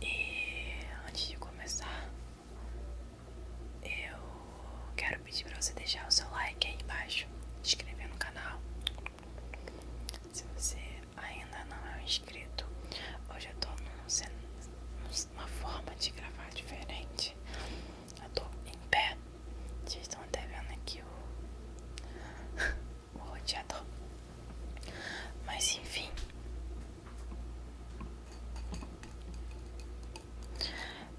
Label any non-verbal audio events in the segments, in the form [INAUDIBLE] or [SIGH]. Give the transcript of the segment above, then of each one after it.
E antes de começar, eu quero pedir para você deixar o seu like aí embaixo, se inscrever no canal. Se você ainda não é inscrito, hoje eu tô num, numa forma de gravar diferente. Eu tô em pé, vocês estão até vendo aqui o. [LAUGHS] o roteador. Mas enfim.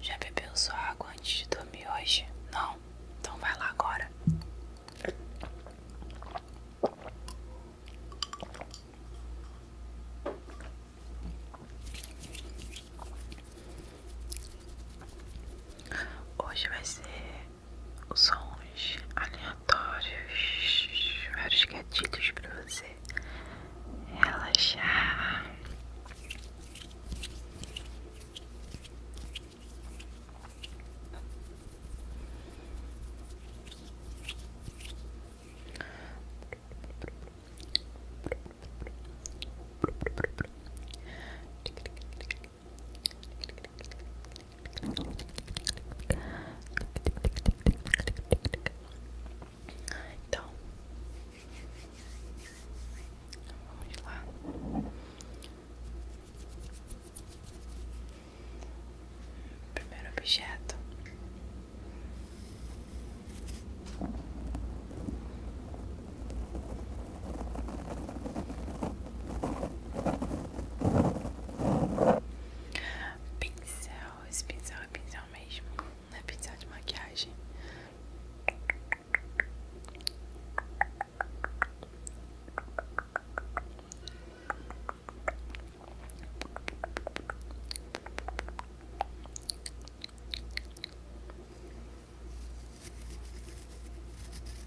Já bebeu sua água antes de dormir hoje? Não? Então vai lá agora. Hoje vai ser sons aleatórios, vários gatilhos para você relaxar. Então, vamos lá. Primeiro objeto. Pincel, esse pincel é pincel mesmo, não é pincel de maquiagem.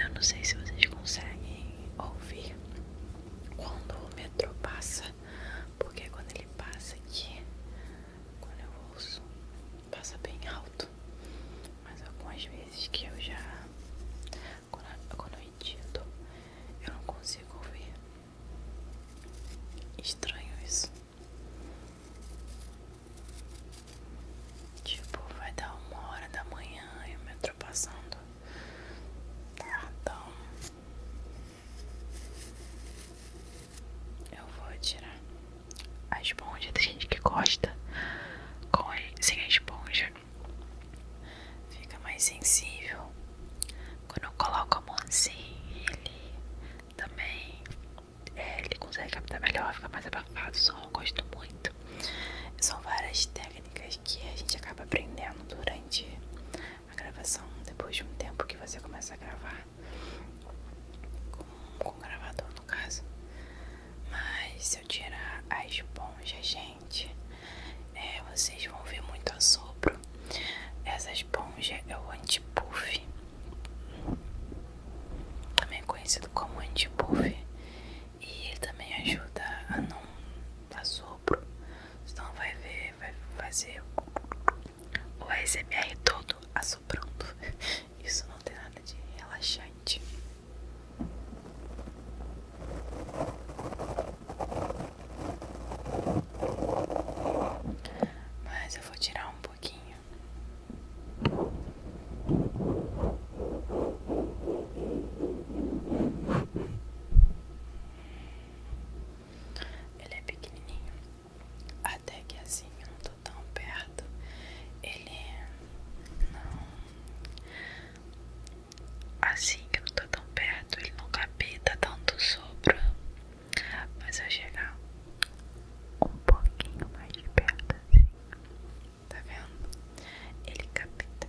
Eu não sei se vocês conseguem ouvir quando o metrô passa, porque quando ele passa aqui quando eu ouço, passa bem alto. Mas algumas vezes que eu já, quando, eu edito, eu não consigo ouvir. Estranho isso. Tipo, vai dar uma hora da manhã e eu me tá, tá Então, eu vou tirar a esponja. da gente que gosta sem a esponja. Fica mais sensível. Quando eu coloco a mão assim, ele também é, ele consegue captar melhor, fica mais abafado. Só eu gosto muito. São várias técnicas que a gente acaba aprendendo durante a gravação. Depois de um tempo que você começa a gravar, com, com gravador no caso mas se eu tirar a esponja gente é, vocês vão ver muito assopro essa esponja é o anti-puff também é conhecido como anti-puff e ele também ajuda a não assopro senão vai ver vai fazer o ASMR todo assoprando. [LAUGHS] Isso não tem nada de relaxante. Mas eu vou tirar um pouquinho. Ele é pequenininho. Até que assim eu não tô tão perto. Ele não. Assim que eu não tô tão perto, ele não capita tanto sopro. Mas eu chegar um pouquinho mais de perto assim. Tá vendo? Ele capita.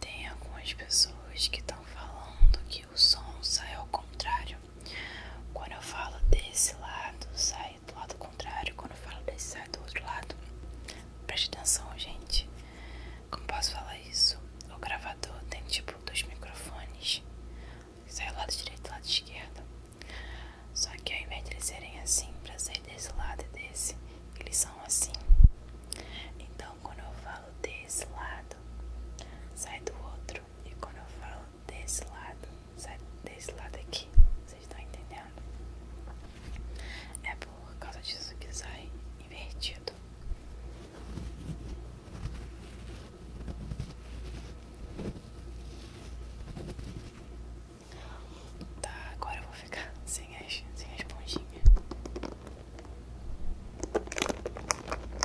Tem algumas pessoas que estão falando que o som sai ao contrário. Quando eu falo desse lado, sai é, do lado contrário. Quando eu falo desse, sai do outro lado. Preste atenção, gente. Como posso falar isso? O gravador tem tipo dois microfones. Sai do lado direito e lado esquerdo. Só que ao invés de eles serem assim, pra sair desse lado e desse, eles são assim. Então, quando eu falo desse lado, sai do outro. E quando eu falo desse lado, sai desse lado aqui. Vocês estão entendendo? É por causa disso que sai invertido. Tá, agora eu vou ficar sem as, sem a esponjinha.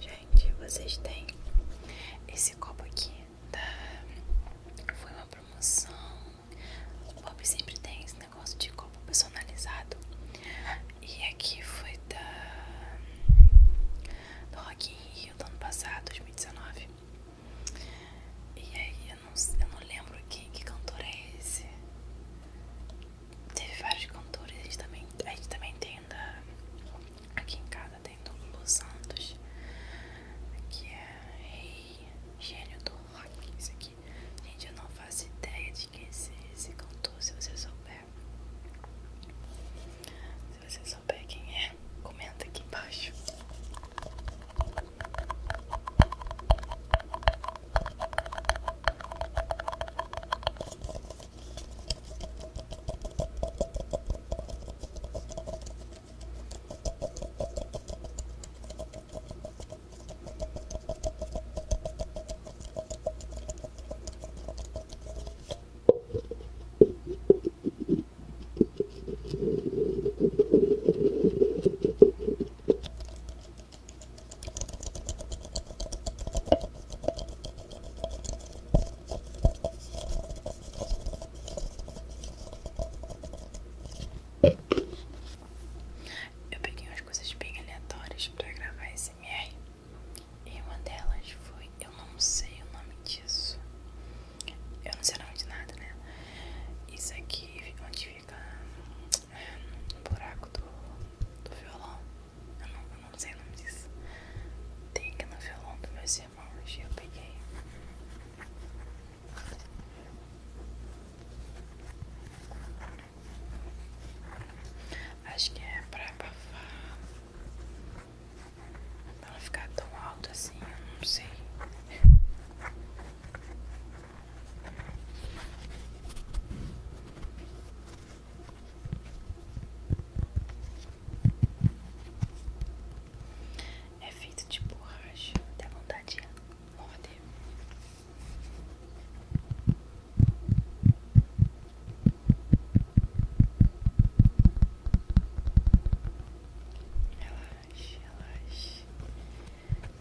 Gente, vocês têm esse copo aqui Foi uma promoção O Bob sempre tem esse negócio de copo personalizado E aqui foi da... Do Rock in Rio do ano passado, 2019 e aí eu não, eu não lembro quem, que cantor é esse. Teve vários cantores, a gente também, a gente também tem da, aqui em casa tem do Lulu Santos, que é rei gênio do rock, isso aqui. Gente, eu não faço ideia de quem é esse cantor, se você souber. Se você souber quem é, comenta aqui embaixo. Eu peguei umas coisas bem aleatórias para gravar esse MR e uma delas foi eu não sei o nome disso. Eu não sei o nome de nada, né? Isso aqui, onde fica né, no buraco do, violão. Eu não, não sei o nome disso. Tem aqui no violão do meu irmão hoje Eu peguei. Acho que é pra bafar Pra ficar tão alto assim, eu não sei. É feito de borracha, dá vontade de morder. Relaxe, relaxe, relaxe.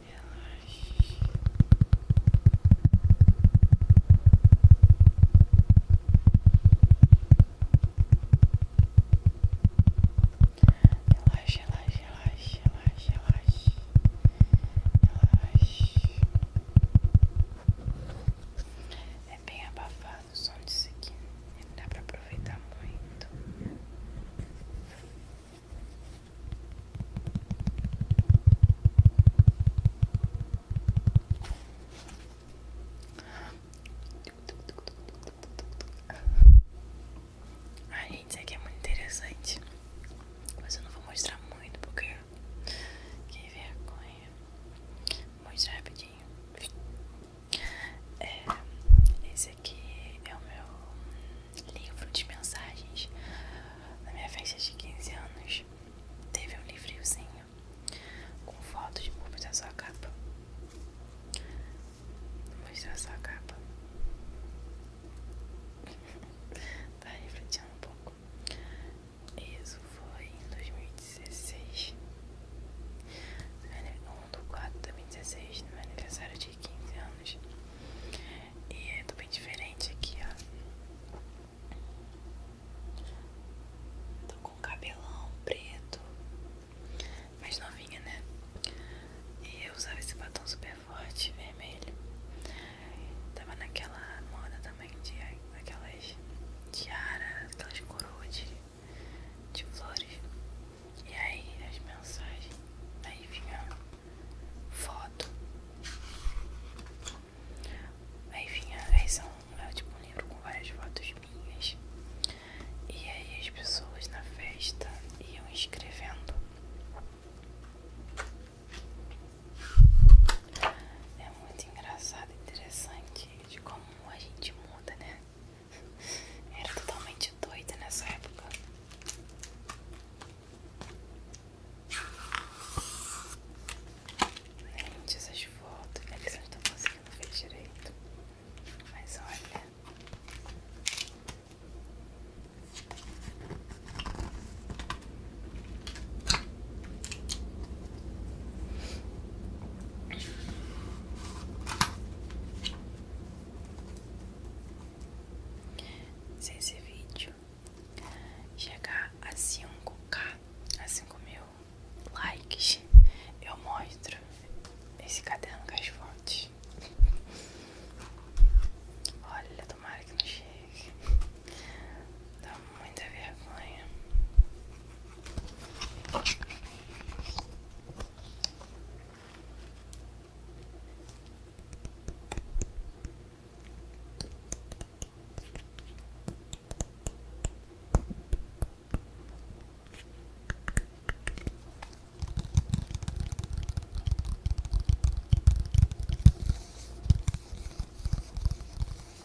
Relaxe, relaxe, relaxe, relaxe, relaxe. Relaxe. É bem abafado gostar do som disso aqui. Não dá pra aproveitar muito. Ah, gente, isso aqui é muito interessante. Mas eu não vou mostrar muito porque. Que vergonha. Vou mostrar rapidinho. É, esse aqui é o meu livro de mensagens. Na minha festa de 15 anos, teve um livrinhozinho com fotos de da sua capa. Mostrar sua capa. [LAUGHS] tá refletindo um pouco. Isso foi em 2016. Um do 4 de 2016, no meu aniversário de 15 anos. E é bem diferente aqui, ó. Tô com cabelão preto. Mais novinha, né? E eu usava esse batom super forte, vermelho. Tava naquela moda também de aquelas tiaras, aquelas coroas de flores. E aí as mensagens. Aí vinha foto. Aí vinha. Aí são é tipo um livro com várias fotos minhas. E aí as pessoas na festa iam escrevendo. É muito engraçado e interessante de como a gente muda, né? Era totalmente doida nessa época. Gente, essas fotos, eles não estão conseguindo ver direito. Mas olha. Se esse vídeo chegar a cinco k a cinco mil likes, eu mostro esse caderno com as fotos. Olha, tomara que não chegue. Então, muita vergonha.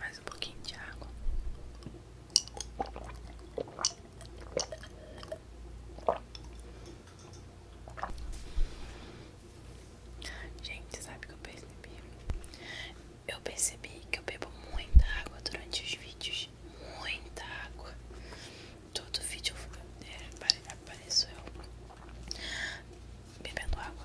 Mais um pouquinho de água. Gente, sabe o que eu percebi? Eu percebi que eu bebo muita água durante os vídeos. Muita água. Todo vídeo é, apareceu aparecer. bebendo água.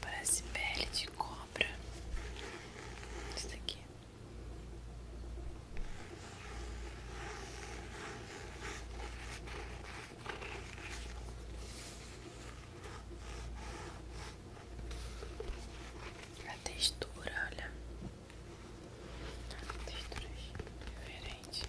Parece pele de cobra. Isso daqui. A textura, olha. Texturas diferentes.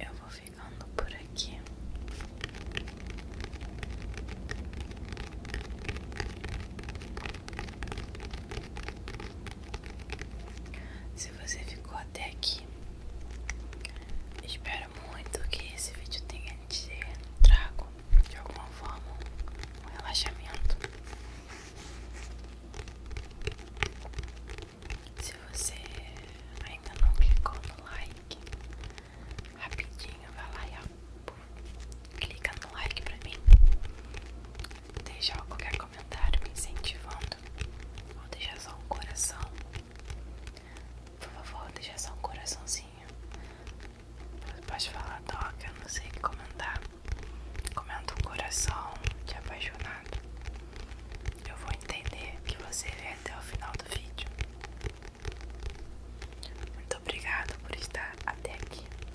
Eu vou ficando por aqui. Se você ficou até aqui, espero muito que esse vídeo tenha te trago de alguma forma um relaxamento. Se você ainda não clicou no like, rapidinho vai lá e clica no like pra mim deixar qualquer comentário me incentivando ou deixar só um coração. Por favor, deixa só um coraçãozinho. Pode falar, toca, não sei o que comentar. Comenta um coração de apaixonado. Eu vou entender que você vê até o final do vídeo. Muito obrigado por estar até aqui.